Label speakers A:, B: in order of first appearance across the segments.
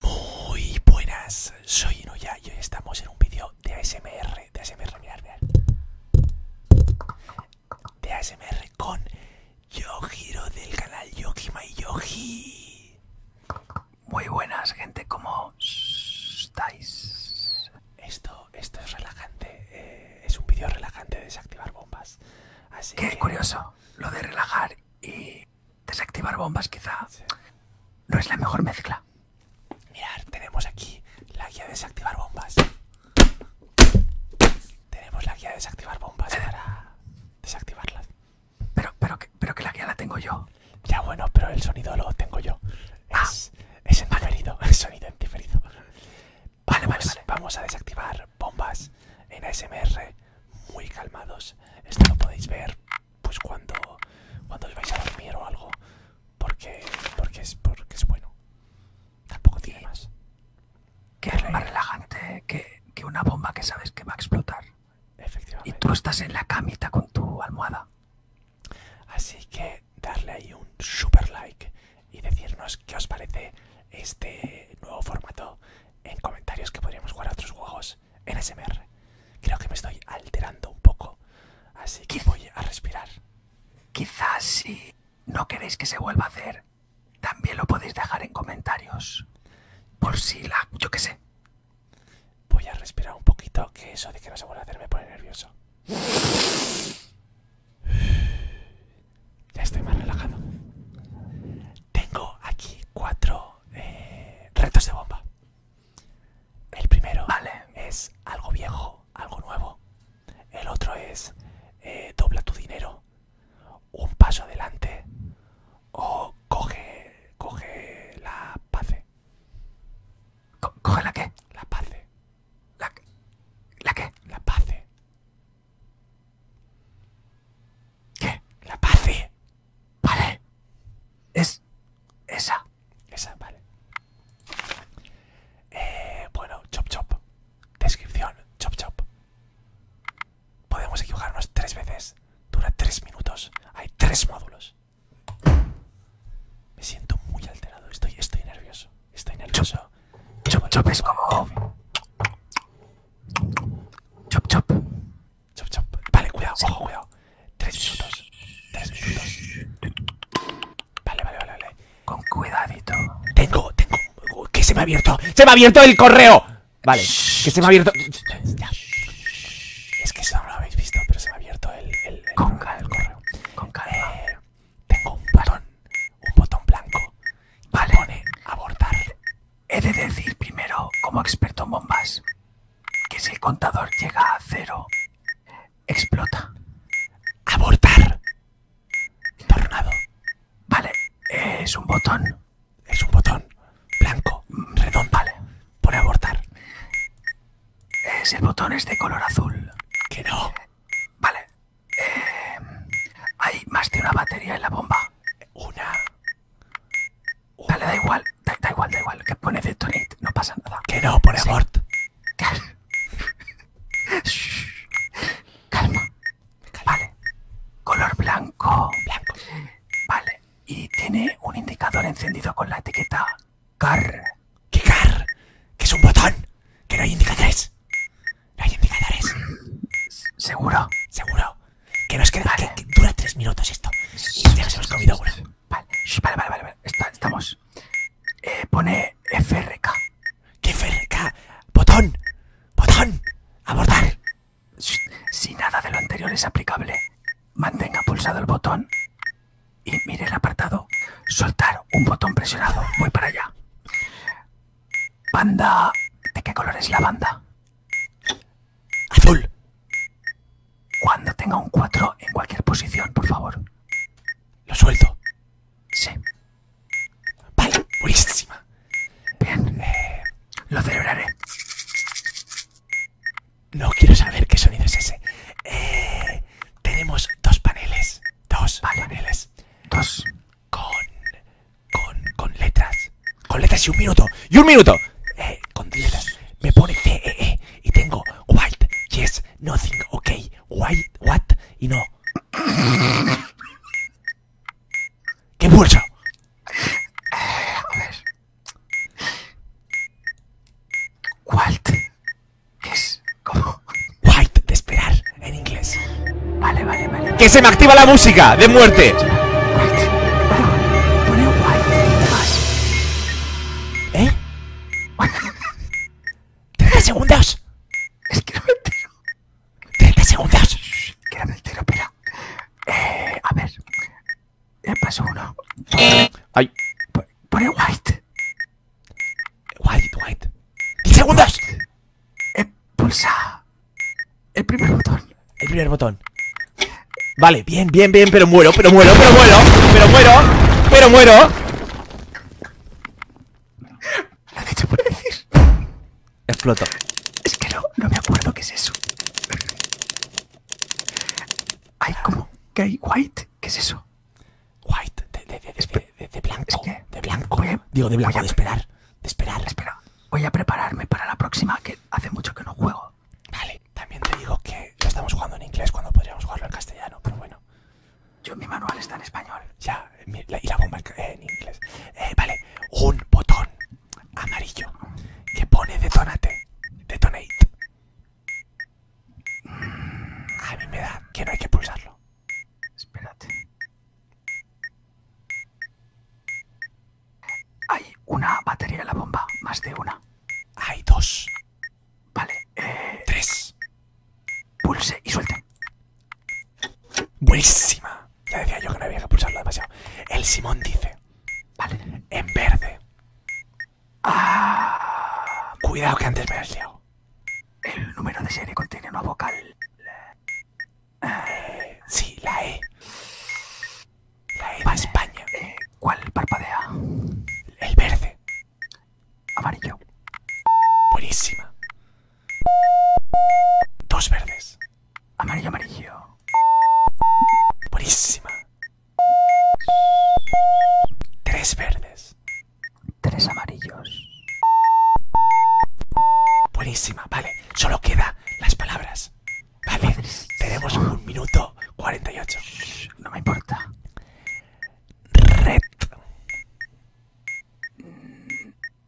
A: Muy buenas, soy Inuya y hoy estamos en un vídeo de ASMR, de ASMR, mirad, mirad. De ASMR con Yojiro del canal Yogi y Muy buenas, gente, ¿cómo estáis? Esto, esto es relajante, eh, es un vídeo relajante de desactivar bombas. Así Qué curioso, lo de relajar y desactivar bombas quizá no es la mejor mezcla. Mirad, tenemos aquí la guía de desactivar bombas. Tenemos la guía de desactivar bombas eh. para desactivarlas. Pero, pero, que, la guía la tengo yo. Ya bueno, pero el sonido lo tengo yo. Ah. Es, el sonido en vale, vale. Vamos a desactivar bombas en ASMR muy calmados. Esto lo podéis ver pues cuando cuando os vais a dormir o algo porque porque es porque es bueno tampoco tiene más que es más relajante que, que una bomba que sabes que va a explotar y tú estás en la camita con tu almohada así que darle ahí un super like y decirnos qué os parece este nuevo formato en comentarios que podríamos jugar a otros juegos en SMR. Creo que me estoy alterando un poco, así que voy a respirar. Quizás si no queréis que se vuelva a hacer, también lo podéis dejar en comentarios. Por si la... yo qué sé. Voy a respirar un poquito, que eso de que no se vuelva a hacer me pone nervioso. Ya estoy más relajado. Tengo aquí cuatro eh, retos de bomba. El primero vale. es algo viejo, algo nuevo. El otro es eh, dobla tu dinero, un paso adelante o coge, coge la paz, ¿Coge la qué? La paz, ¿La, la qué? La paz, ¿Qué? La paz. Vale. Es esa. Esa, vale. Eh, bueno, chop chop. Descripción, chop chop. Podemos equivocarnos tres veces. Dura tres minutos. Hay tres módulos. Me siento muy alterado. Estoy, estoy nervioso. Estoy nervioso. chop, chop es como... Chop chop. Chop, chop. Vale, cuidado, ojo, cuidado. Tres minutos. Tres minutos. Vale, vale, vale, vale. Con cuidadito. Tengo, tengo. Que se me ha abierto. ¡Se me ha abierto el correo! Vale, que se me ha abierto. Es que eso no lo habéis visto, pero se me ha abierto el, el, con calma, correo. Eh, con calma. tengo un botón, un botón blanco. Vale. Pone abortar. He de decir primero, como experto en bombas, que si el contador llega a cero, explota. ¡Abortar! Tornado. Vale, es un botón. Es un botón. Blanco, mm, redondo. Vale, pone abortar. Es el botón es de color azul. Que no. Vale. Eh, hay más de una batería en la bomba. Una. Dale, da igual da, igual, da igual. Que pone Detonate, no pasa nada. Que no, pone abort. Calma. Vale. Color blanco. Blanco. Vale. Y tiene un indicador encendido con la etiqueta CAR. ¿Qué CAR? Que es un botón. Que no hay indicadores. No hay indicadores. ¿Seguro? Seguro. Que nos queda. Que, dura tres minutos esto. Y ya nos hemos comido una. Vale, vale, vale, vale. estamos. Eh, pone FRK. ¿Qué FRK? ¡Botón! ¡Botón! ¡Abordar! Si nada de lo anterior es aplicable, mantenga pulsado el botón y mire el apartado. Soltar un botón presionado. Voy para allá. Banda. ¿De qué color es la banda? Azul. Cuando tenga un 4 en cualquier posición, por favor. Lo suelto. Sí. Vale, buenísima. Bien. Eh, lo celebraré. No quiero saber qué sonido es ese. Eh, tenemos dos paneles. Dos paneles. Dos. Con, con. con letras. Con letras y un minuto. Y un minuto. Eh, con letras. Me pone C, E, E. Y tengo White yes, nothing, ok, White what y no. ¿Qué mucho A ver. ¿Qué es? como White, de esperar, en inglés. Vale, vale, vale. ¡Que se me activa la música de muerte! pone white. ¿Eh? ¡30 segundos! Es que no me entero. ¡30 segundos! Es que no me entero, pega. Eh, a ver. Eh, paso uno. ¡Ay! Pone white. White, white. ¡10 segundos! Eh, pulsa el primer botón. El primer botón. Vale, bien, bien, bien, pero muero, pero muero, pero muero, pero muero, pero muero. Lo has dicho por decir. Exploto. Es que no, me acuerdo qué es eso. Hay como que hay white. ¿Qué es eso? White, de, de, de, blanco. de blanco. Digo, de blanco, de esperar. De esperar. Voy a prepararme para la próxima, que hace mucho que no juego. Vale. También te digo que lo estamos jugando en inglés cuando podríamos jugarlo en castellano, pero bueno. Yo, mi manual está en español. Ya, y la bomba en eh, inglés. Eh, vale, un botón amarillo que pone detonate. Detonate. Mm, a mí me da que no hay que pulsarlo. Espérate. Hay una batería en la bomba, más de una. Hay dos. Vale, eh... Tres. Pulse y suelte. Buenísima. Ya decía yo que no había que pulsarlo demasiado. El Simón dice. Vale. En verde. Ah, Cuidado que antes me El número de serie contiene una vocal. Eh, sí, la E. La Eva España. Eh, ¿Cuál parpadea? El verde. Amarillo. Buenísima. Dos verdes. Amarillo, amarillo. Buenísima. Tres verdes. Tres amarillos. Buenísima, vale. Solo queda las palabras. Vale, tenemos un minuto 48. no me importa. Red.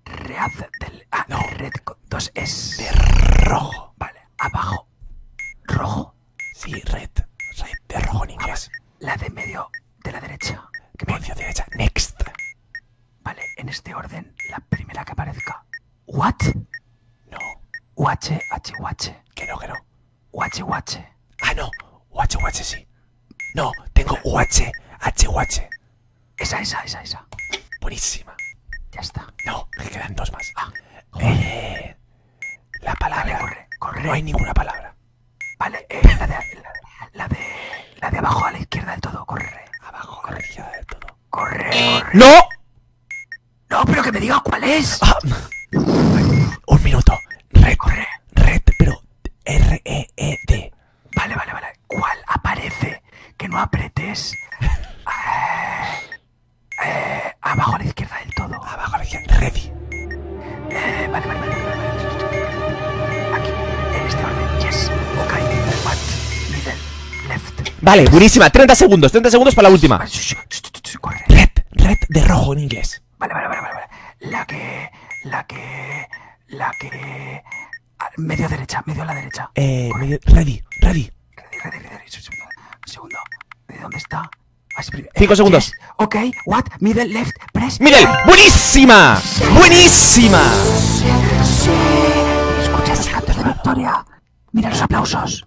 A: Red del. Ah, Red con dos es... De rojo. Vale, abajo. ¿Rojo? Sí, red. Red de rojo en inglés. La de medio de la derecha. Medio derecha. Next. Vale, en este orden, la primera que aparezca. ¿What? No. u h, h Que no, que no. Ah, no. u guache, sí. No, tengo guache, h, h Esa, esa, esa, esa. Buenísima. Ya está. No, me quedan dos más. Ah, eh, la palabra. corre, corre. No hay ninguna palabra. Vale, eh, la, de, la, de, la de abajo a la izquierda del todo, corre. Abajo a la izquierda del todo. Corre, eh, corre. ¡No! No, pero que me digas cuál es. Ah, un minuto. Red, red, pero R-E-E-D. Vale, vale, vale. ¿Cuál aparece? Que no apretes. Eh, eh, abajo a la izquierda del todo. Abajo a la izquierda. Ready. Eh, vale, vale, vale, Aquí, en este orden. Yes. middle, Middle. Left. Vale, buenísima. 30 segundos, 30 segundos para la última. Red, red de rojo en inglés. Vale, vale, vale, vale. La que, la que, la que... Ah, medio derecha, medio a la derecha. Eh, ready, ready. Ready, ready, ready. Segundo. ¿De dónde está? Ah, Cinco eh, segundos. Okay. Ok, what? Middle, left, press. Mira, buenísima. buenísima. Sí, sí. Escucha los cantos de victoria. Mira los aplausos.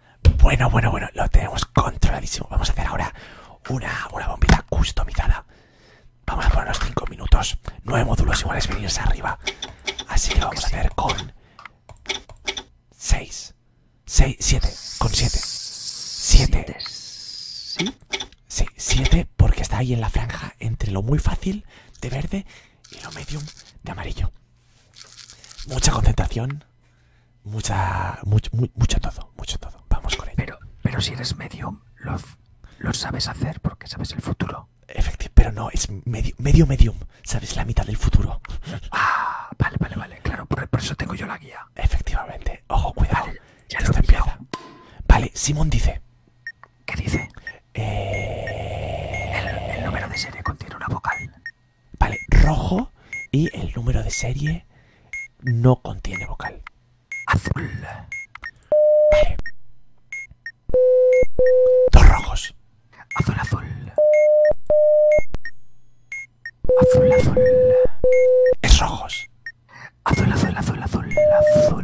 A: Bueno, bueno, bueno, lo tenemos controladísimo. Vamos a hacer ahora una, bombita customizada. Vamos a poner los 5 minutos. Nueve módulos iguales venirse arriba. Así que lo vamos a hacer con seis. Seis, 7, con siete. 7. Sí, siete porque está ahí en la franja entre lo muy fácil de verde y lo medium de amarillo. Mucha concentración mucha, mucho, mucho todo, mucho todo. Vamos con ello. Pero, pero si eres medium, lo, sabes hacer porque sabes el futuro. Efectivamente, pero no, es medio, medio medium, sabes la mitad del futuro. Ah, vale, vale, vale, claro, por, eso tengo yo la guía. Efectivamente, ojo, cuidado. Vale, ya Esto empieza. Vale, Simón dice. ¿Qué dice? Eh, el número de serie contiene una vocal. Vale, rojo y el número de serie no contiene vocal. Azul. Vale. Dos rojos. Azul, azul. Azul, azul. Es rojos. Azul, azul, azul, azul, azul.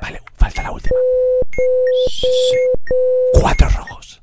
A: Vale, falta la última. Cuatro rojos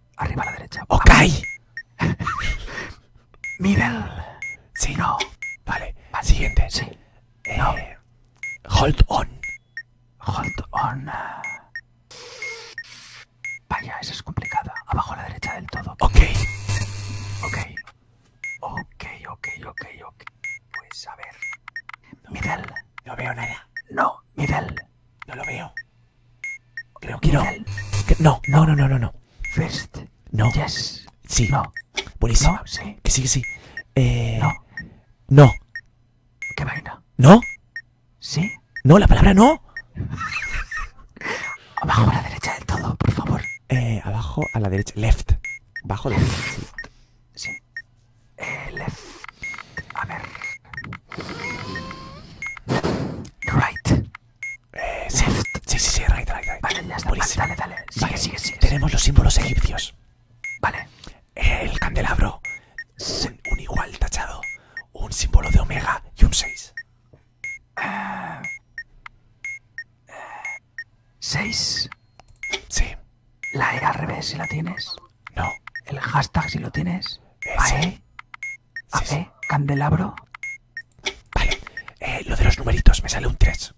A: Arriba a la derecha. ¡Ok! Middle. Sí. No. Vale. la Siguiente. Sí. Eh, hold on. Hold on. Vaya, eso es complicada. Abajo a la derecha del todo. Ok. Ok. Ok, ok, ok, ok. Pues a ver. Middle. No veo nada. No, Middle. No lo veo. Creo que no. no. No, no, no, no, First. No. Yes. Sí. No. Buenísimo. sí. Que sí, que sí. Eh, no. No. ¿Qué vaina? ¿No? ¿Sí? No, la palabra no. abajo a la derecha del todo, por favor. Eh, abajo a la derecha. Left. Abajo left. Eh, left. A ver. Right. Eh, sí. sí, sí, right, right, right. Vale, ya está. dale, dale. Sigue, sigue, sigue. Tenemos los símbolos egipcios. Vale. El candelabro. Un, igual tachado. Un símbolo de omega y un 6. 6. Eh, eh, sí. La E al revés, si la tienes. No. El hashtag si lo tienes. Vale. AE, candelabro. Vale. Eh, lo de los numeritos, me sale un 3.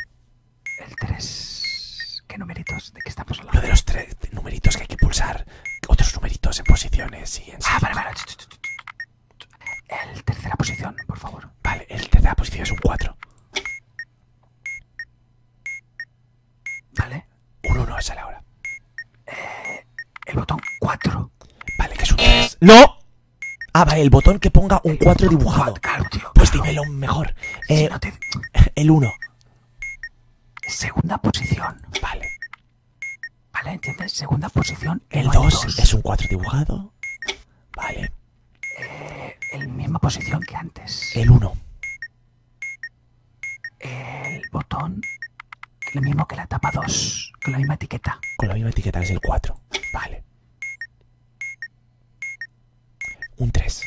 A: El 3. ¿Qué numeritos? ¿De qué estamos hablando? Lo de los tres numeritos que hay que pulsar. Otros numeritos en posiciones y en. Ah, vale, vale. El tercera posición, por favor. Vale, el tercera posición es un 4. Vale, un 1 es sale ahora. Eh, el botón 4. Vale, que es un 3. ¡No! Ah, vale, el botón que ponga un 4 dibujado. pues dímelo mejor. Eh, el 1. Segunda posición. Vale. Vale, ¿entiendes? Segunda posición. El 2 es un 4 dibujado. Vale. Eh, el misma posición que antes. El 1 el botón, lo mismo que la etapa 2, con la misma etiqueta. Con la misma etiqueta es el 4. Vale. Un 3.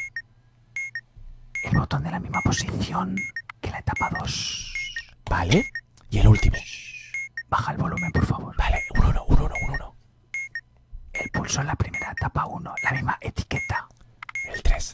A: El botón de la misma posición que la etapa 2. Vale. Y el último. Baja el volumen, por favor. Vale, 1, 1, 1. El pulso en la primera etapa 1, la misma etiqueta. El 3.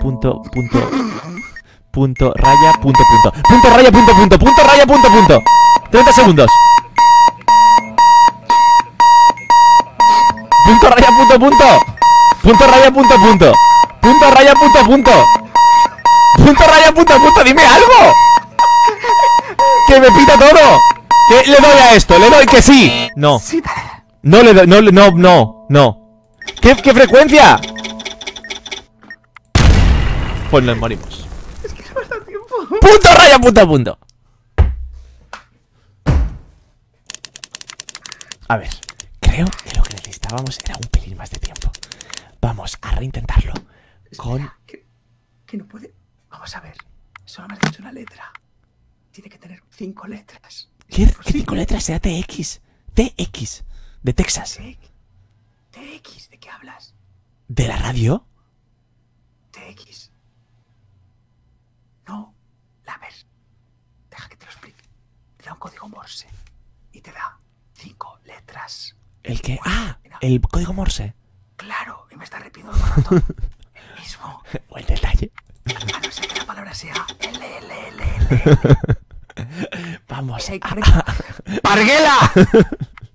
A: punto punto punto raya punto punto punto raya punto punto punto raya punto punto 30 segundos punto raya punto punto punto raya punto punto punto raya punto punto punto raya punto punto dime algo que me pita todo que le doy a esto le doy que sí no no le no, no, no, no. ¿Qué, frecuencia? Pues nos morimos. Es que no tiempo. ¡Punto, raya, punto, punto! A ver, creo que lo que necesitábamos era un pelín más de tiempo. Vamos a reintentarlo. con. Que, no puede. Vamos a ver. Solo me has una letra. Tiene que tener cinco letras. ¿Qué, cinco letras sea TX? TX, de Texas. TX, ¿de qué hablas? ¿De la radio? TX. No, la ves. Deja que te lo explique. Te da un código Morse y te da cinco letras. ¿El que? Ah, el código Morse. Claro, y me está repitiendo el mismo. Buen detalle. A no ser que la palabra sea L, Vamos. A... ¡Parguela!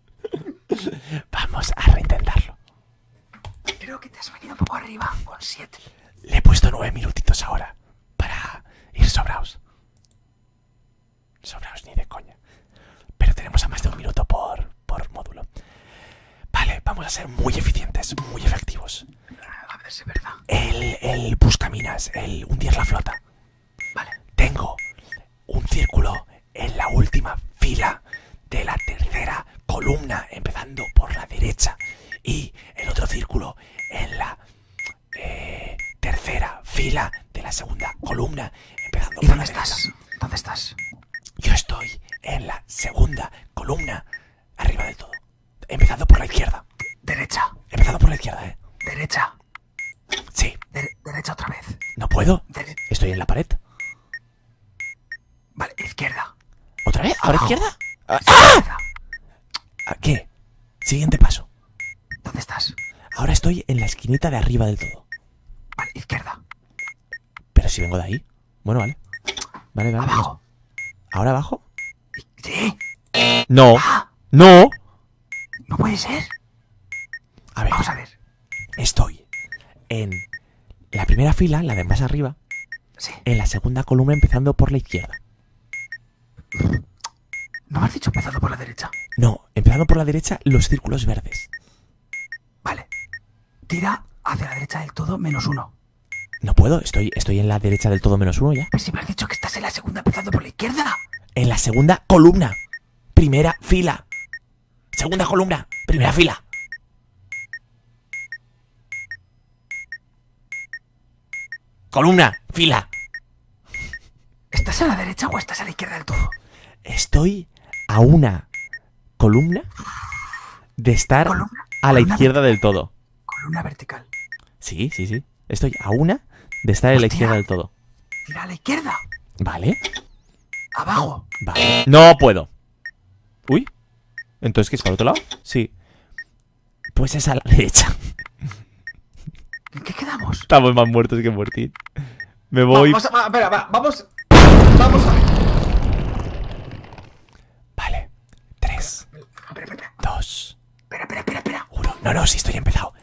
A: Vamos a reintentarlo. Creo que te has venido un poco arriba con 7. Le he puesto 9 minutitos ahora para ir sobrados. Sobraos ni de coña. Pero tenemos a más de un minuto por módulo. Vale, vamos a ser muy eficientes, muy efectivos. A ver si verdad. El, el buscaminas, el hundir la flota. Vale. Tengo un círculo en la última fila de la tercera columna, empezando por la derecha. Y el otro círculo en la eh, tercera fila de la segunda columna, empezando por dónde estás? Derecha. ¿Dónde estás? Yo estoy en la segunda columna, arriba del todo empezado por la izquierda. Derecha. Empezando por la izquierda, eh. Derecha. Sí. derecha otra vez. No puedo. Estoy en la pared. Vale, izquierda. ¿Otra vez? ¿Ahora izquierda? Ah. ¿Qué? Siguiente paso. ¿Dónde estás? Ahora estoy en la esquinita de arriba del todo. Vale, izquierda. Pero si vengo de ahí. Bueno, vale. Vale, vale. Abajo. ¿Ahora abajo? ¿Sí? No. No. No puede ser. A ver. Vamos a ver. Estoy en la primera fila, la de más arriba. Sí. En la segunda columna empezando por la izquierda. ¿No me has dicho empezando por la derecha? No, empezando por la derecha los círculos verdes. Vale. Tira hacia la derecha del todo menos uno. No puedo, estoy, estoy en la derecha del todo menos uno ya. Pues si me has dicho que estás en la segunda, empezando por la izquierda. En la segunda columna. Primera fila. Segunda columna. Primera fila. Columna, fila. ¿Estás a la derecha o estás a la izquierda del todo? Estoy a una columna de estar a la izquierda del todo. Columna vertical. Sí, sí, sí. Estoy a una de estar a la izquierda del todo. Tira a la izquierda. Vale. Abajo. Vale. No puedo. Uy. Entonces, ¿qué es para otro lado? Sí. Pues es a la derecha. ¿En qué quedamos? Estamos más muertos que muertos Me voy. vamos a, vamos. Vamos a Vale. 3, 2, uno. No, no, sí, estoy empezado.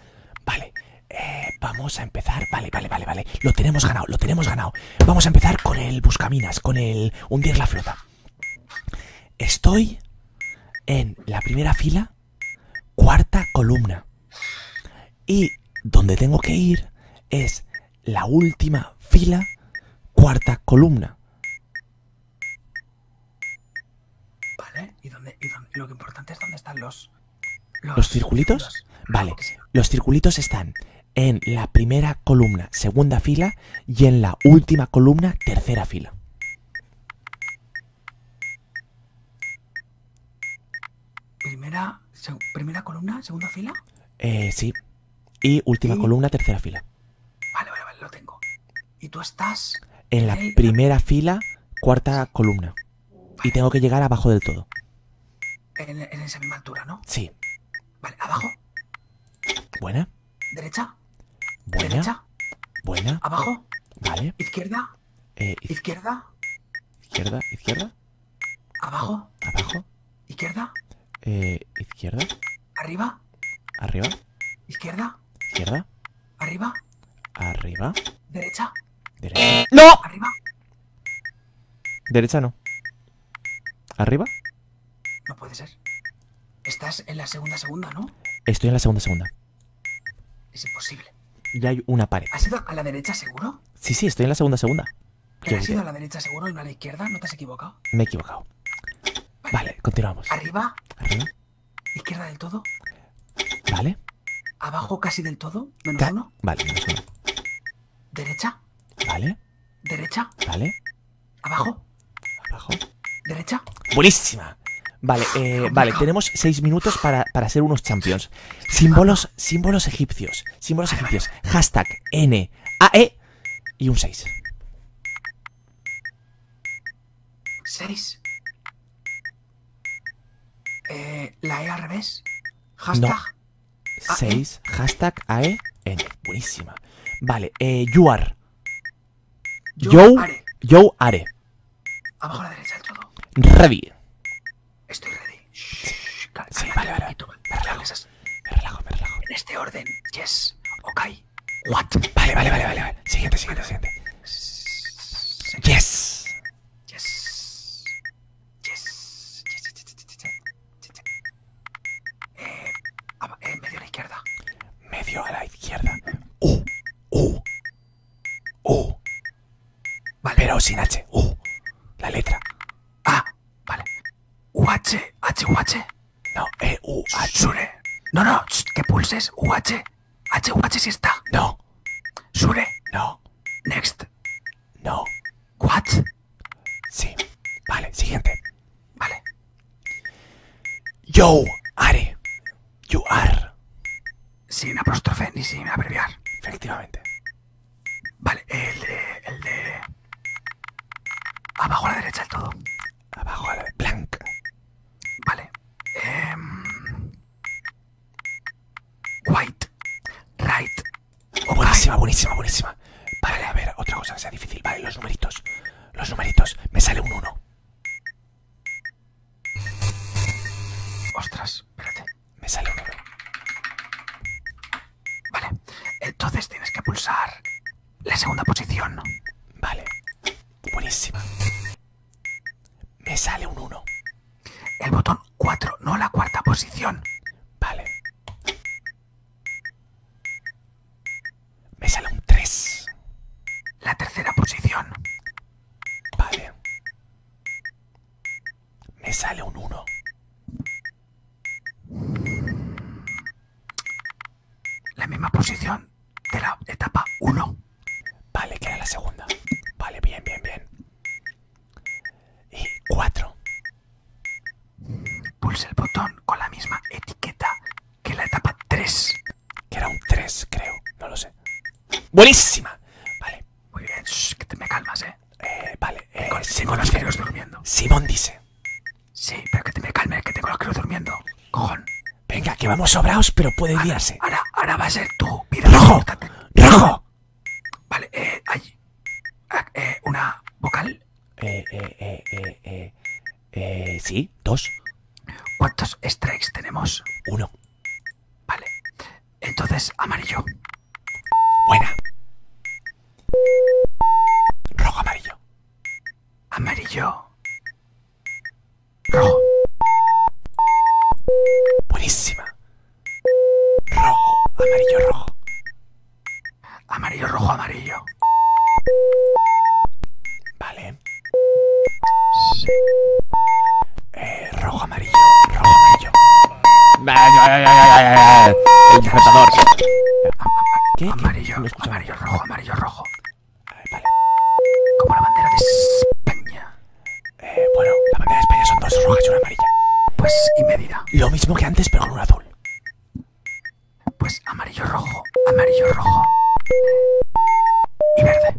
A: Vale. Eh, vamos a empezar. Vale, vale, vale, vale. Lo tenemos ganado, lo tenemos ganado. Vamos a empezar con el buscaminas, con el hundir la flota. Estoy en la primera fila, cuarta columna. Y donde tengo que ir es la última fila, cuarta columna. Vale, ¿y, lo importante es dónde están los... ¿Los, circulitos? Vale, los circulitos están en la primera columna, segunda fila, y en la última columna, tercera fila. Primera, columna, segunda fila. Eh, sí. Y última columna, tercera fila. Vale, vale, lo tengo. Y tú estás. En la primera fila, cuarta columna. Y tengo que llegar abajo del todo. En, esa misma altura, ¿no? Sí. Vale, abajo. Buena. Derecha. Buena. Buena. Abajo. Vale. Izquierda. Eh, izquierda. Izquierda, izquierda. Abajo. Abajo. Izquierda. Eh, izquierda. Arriba. Arriba. Izquierda. Izquierda. Arriba. Arriba. Derecha. Derecha. ¡No! Arriba. Derecha no. ¿Arriba? No puede ser. Estás en la segunda segunda, ¿no? Estoy en la segunda segunda. Es imposible. Ya hay una pared. ¿Has ido a la derecha seguro? Sí, sí, estoy en la segunda segunda. ¿Has ido a la derecha seguro y a la izquierda? ¿No te has equivocado? Me he equivocado. Vale, continuamos. ¿Arriba? ¿Izquierda del todo? Vale. ¿Abajo casi del todo? ¿Menos uno? Vale, menos uno. ¿Derecha? Vale. ¿Derecha? Vale. ¿Abajo? ¿Abajo? ¿Derecha? ¡Buenísima! Vale, eh, vale, tenemos seis minutos para, ser unos champions. Símbolos, símbolos egipcios. Símbolos egipcios. Hashtag N A e y un 6. 6. Eh, la E al revés. Hashtag. 6. E. Hashtag AE. Buenísima. Vale, eh, you are. Yo, yo are. A are. mejor a derecha del todo. Ready. Estoy ready. sí, vale, vale. Me relajo, me relajo. En este orden. Yes. Ok. What? Vale, vale, vale, vale, vale. Siguiente, siguiente, siguiente. Yes. Yes. Yes. Eh, eh, medio a la izquierda. Medio a la izquierda. u, uh, u uh, u uh. Vale. Pero sin H. u La letra. A. Ah, vale. u H. h no, e U, H. Sure. No, no, que pulses. U, H. H, U, H si está. No. Sure. No. Next. No. What? Sí. Vale, siguiente. Vale. Yo, are. You are. Sin apóstrofe ni sin abreviar. Efectivamente. Vale, el de. El de. Abajo a la derecha del todo. Abajo a la Blank. Vale. Em, white. Right. Oh, buenísima, buenísima, buenísima. Vale, a ver, otra cosa sea difícil. Vale, los numeritos. Los numeritos. Me sale un 1. Ostras, espérate. Me sale un 1. Vale. Entonces tienes que pulsar la segunda posición. Vale. Buenísima. Me sale un 1. El botón 4, no la cuarta posición. Vale. Me sale un 3. La tercera posición. Vale. Me sale un 1. La misma posición de la etapa 1. Vale, que era la segunda. Vale, bien, bien, bien. Y 4. Pulsa el botón con la misma etiqueta que la etapa 3. Que era un 3, creo. No lo sé. ¡Buenísima! Vale. Muy bien, que te me calmas, eh. eh vale. con, eh, los dice, durmiendo. Simón dice Sí, pero que te me calme, que tengo los críos durmiendo. Cojón. Venga, que vamos sobraos, pero puede guiarse. Ahora, ahora va a ser tu vida. ¡Rojo! ¡Rojo! Vale, eh, hay. Ah, eh, ¿Una vocal? Eh, eh, eh, eh, eh. Eh, sí, dos. ¿Cuántos strikes tenemos? Uno. Vale. Entonces, amarillo. Buena. Rojo, amarillo. Amarillo. Rojo. Buenísima. Rojo, amarillo, rojo. Amarillo, rojo, amarillo. Vale. Sí. Eh, rojo, amarillo, rojo, amarillo. El Amarillo, amarillo, rojo, amarillo, rojo. Como la bandera de España. Eh, bueno, la bandera de España son dos rojas y una amarilla. Pues, y medida. Lo mismo que antes, pero con un azul. Pues amarillo rojo, amarillo rojo. Y verde.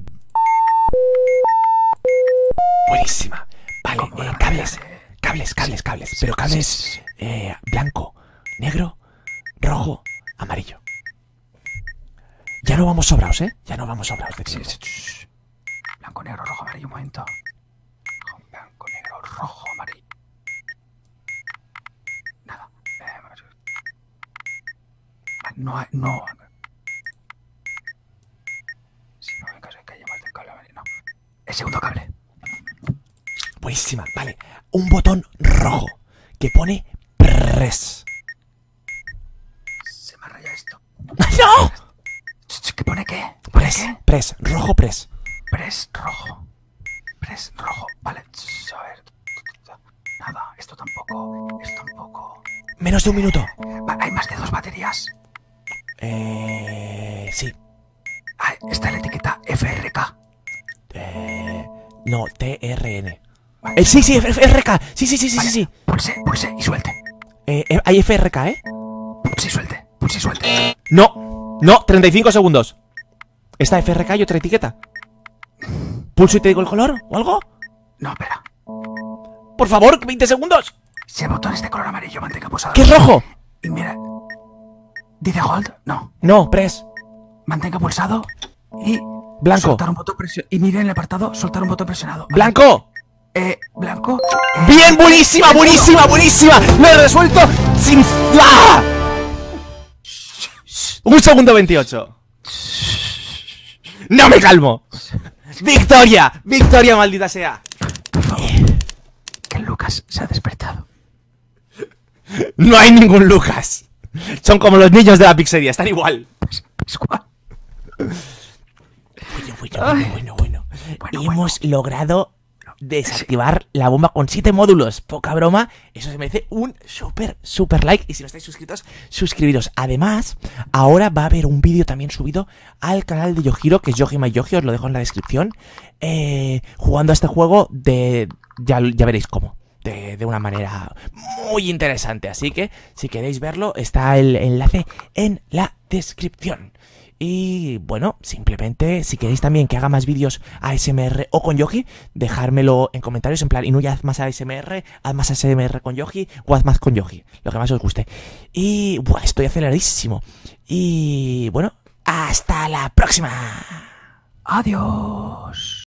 A: Buenísima. Vale, eh, cables, cables, cables, cables. Pero eh, cables blanco, negro, rojo, amarillo. Ya no vamos sobrados, ¿eh? Ya no vamos sobrados Blanco, negro, rojo, amarillo, un momento. Blanco, negro, rojo, amarillo. Nada. Ah, no, hay, no. Si no, en caso de que más del cable amarillo. No. El segundo cable. Buenísima, vale. Un botón rojo que pone Press Se me ha rayado esto. ¡No! ¿Qué pone qué? press, press, rojo press. Press rojo. Press rojo. Vale, a ver. Nada, esto tampoco. Esto tampoco. Menos de un minuto. ¿Hay más de dos baterías? Eh. Sí. Ah, está la etiqueta FRK. Eh, no, TRN. Eh, sí, sí, FRK. Sí, sí, sí, sí, sí. Pulse, pulse y suelte. Eh, eh hay FRK, ¿eh? Pulse y suelte, pulse y suelte. No, no, 35 segundos. ¿Esta FRK y otra etiqueta? ¿Pulso y te digo el color o algo? No, espera. Por favor, 20 segundos. Si el botón es de color amarillo, mantenga pulsado. ¿Qué es rojo! Y mira. ¿Dice hold? No. No, press. Mantenga pulsado y Blanco. Y miren en el apartado, soltar un botón presionado. ¡Blanco! Eh, blanco.
B: ¡Bien! ¡Buenísima! ¡Buenísima! ¡Buenísima! ¡Lo he
A: resuelto! ¡Sin. ¡Ah! Un segundo 28. ¡No me calmo! ¡Victoria! ¡Victoria, maldita sea! Que Lucas se ha despertado. No hay ningún Lucas. Son como los niños de la pizzería, están igual. Bueno, bueno, bueno, Hemos logrado desactivar la bomba con 7 módulos. Poca broma, eso se merece un super, súper like. Y si no estáis suscritos, suscribiros. Además, ahora va a haber un vídeo también subido al canal de Yojiro, que es Yoji Yoji, os lo dejo en la descripción. Eh, jugando a este juego de... Ya, ya veréis cómo de, de, una manera muy interesante. Así que si queréis verlo, está el enlace en la descripción. Y bueno, simplemente si queréis también que haga más vídeos ASMR o con Yogi, dejármelo en comentarios en plan, no haz más ASMR, haz más ASMR con Yogi o haz más con Yogi, lo que más os guste. Y bueno, estoy aceleradísimo. Y bueno, hasta la próxima. Adiós.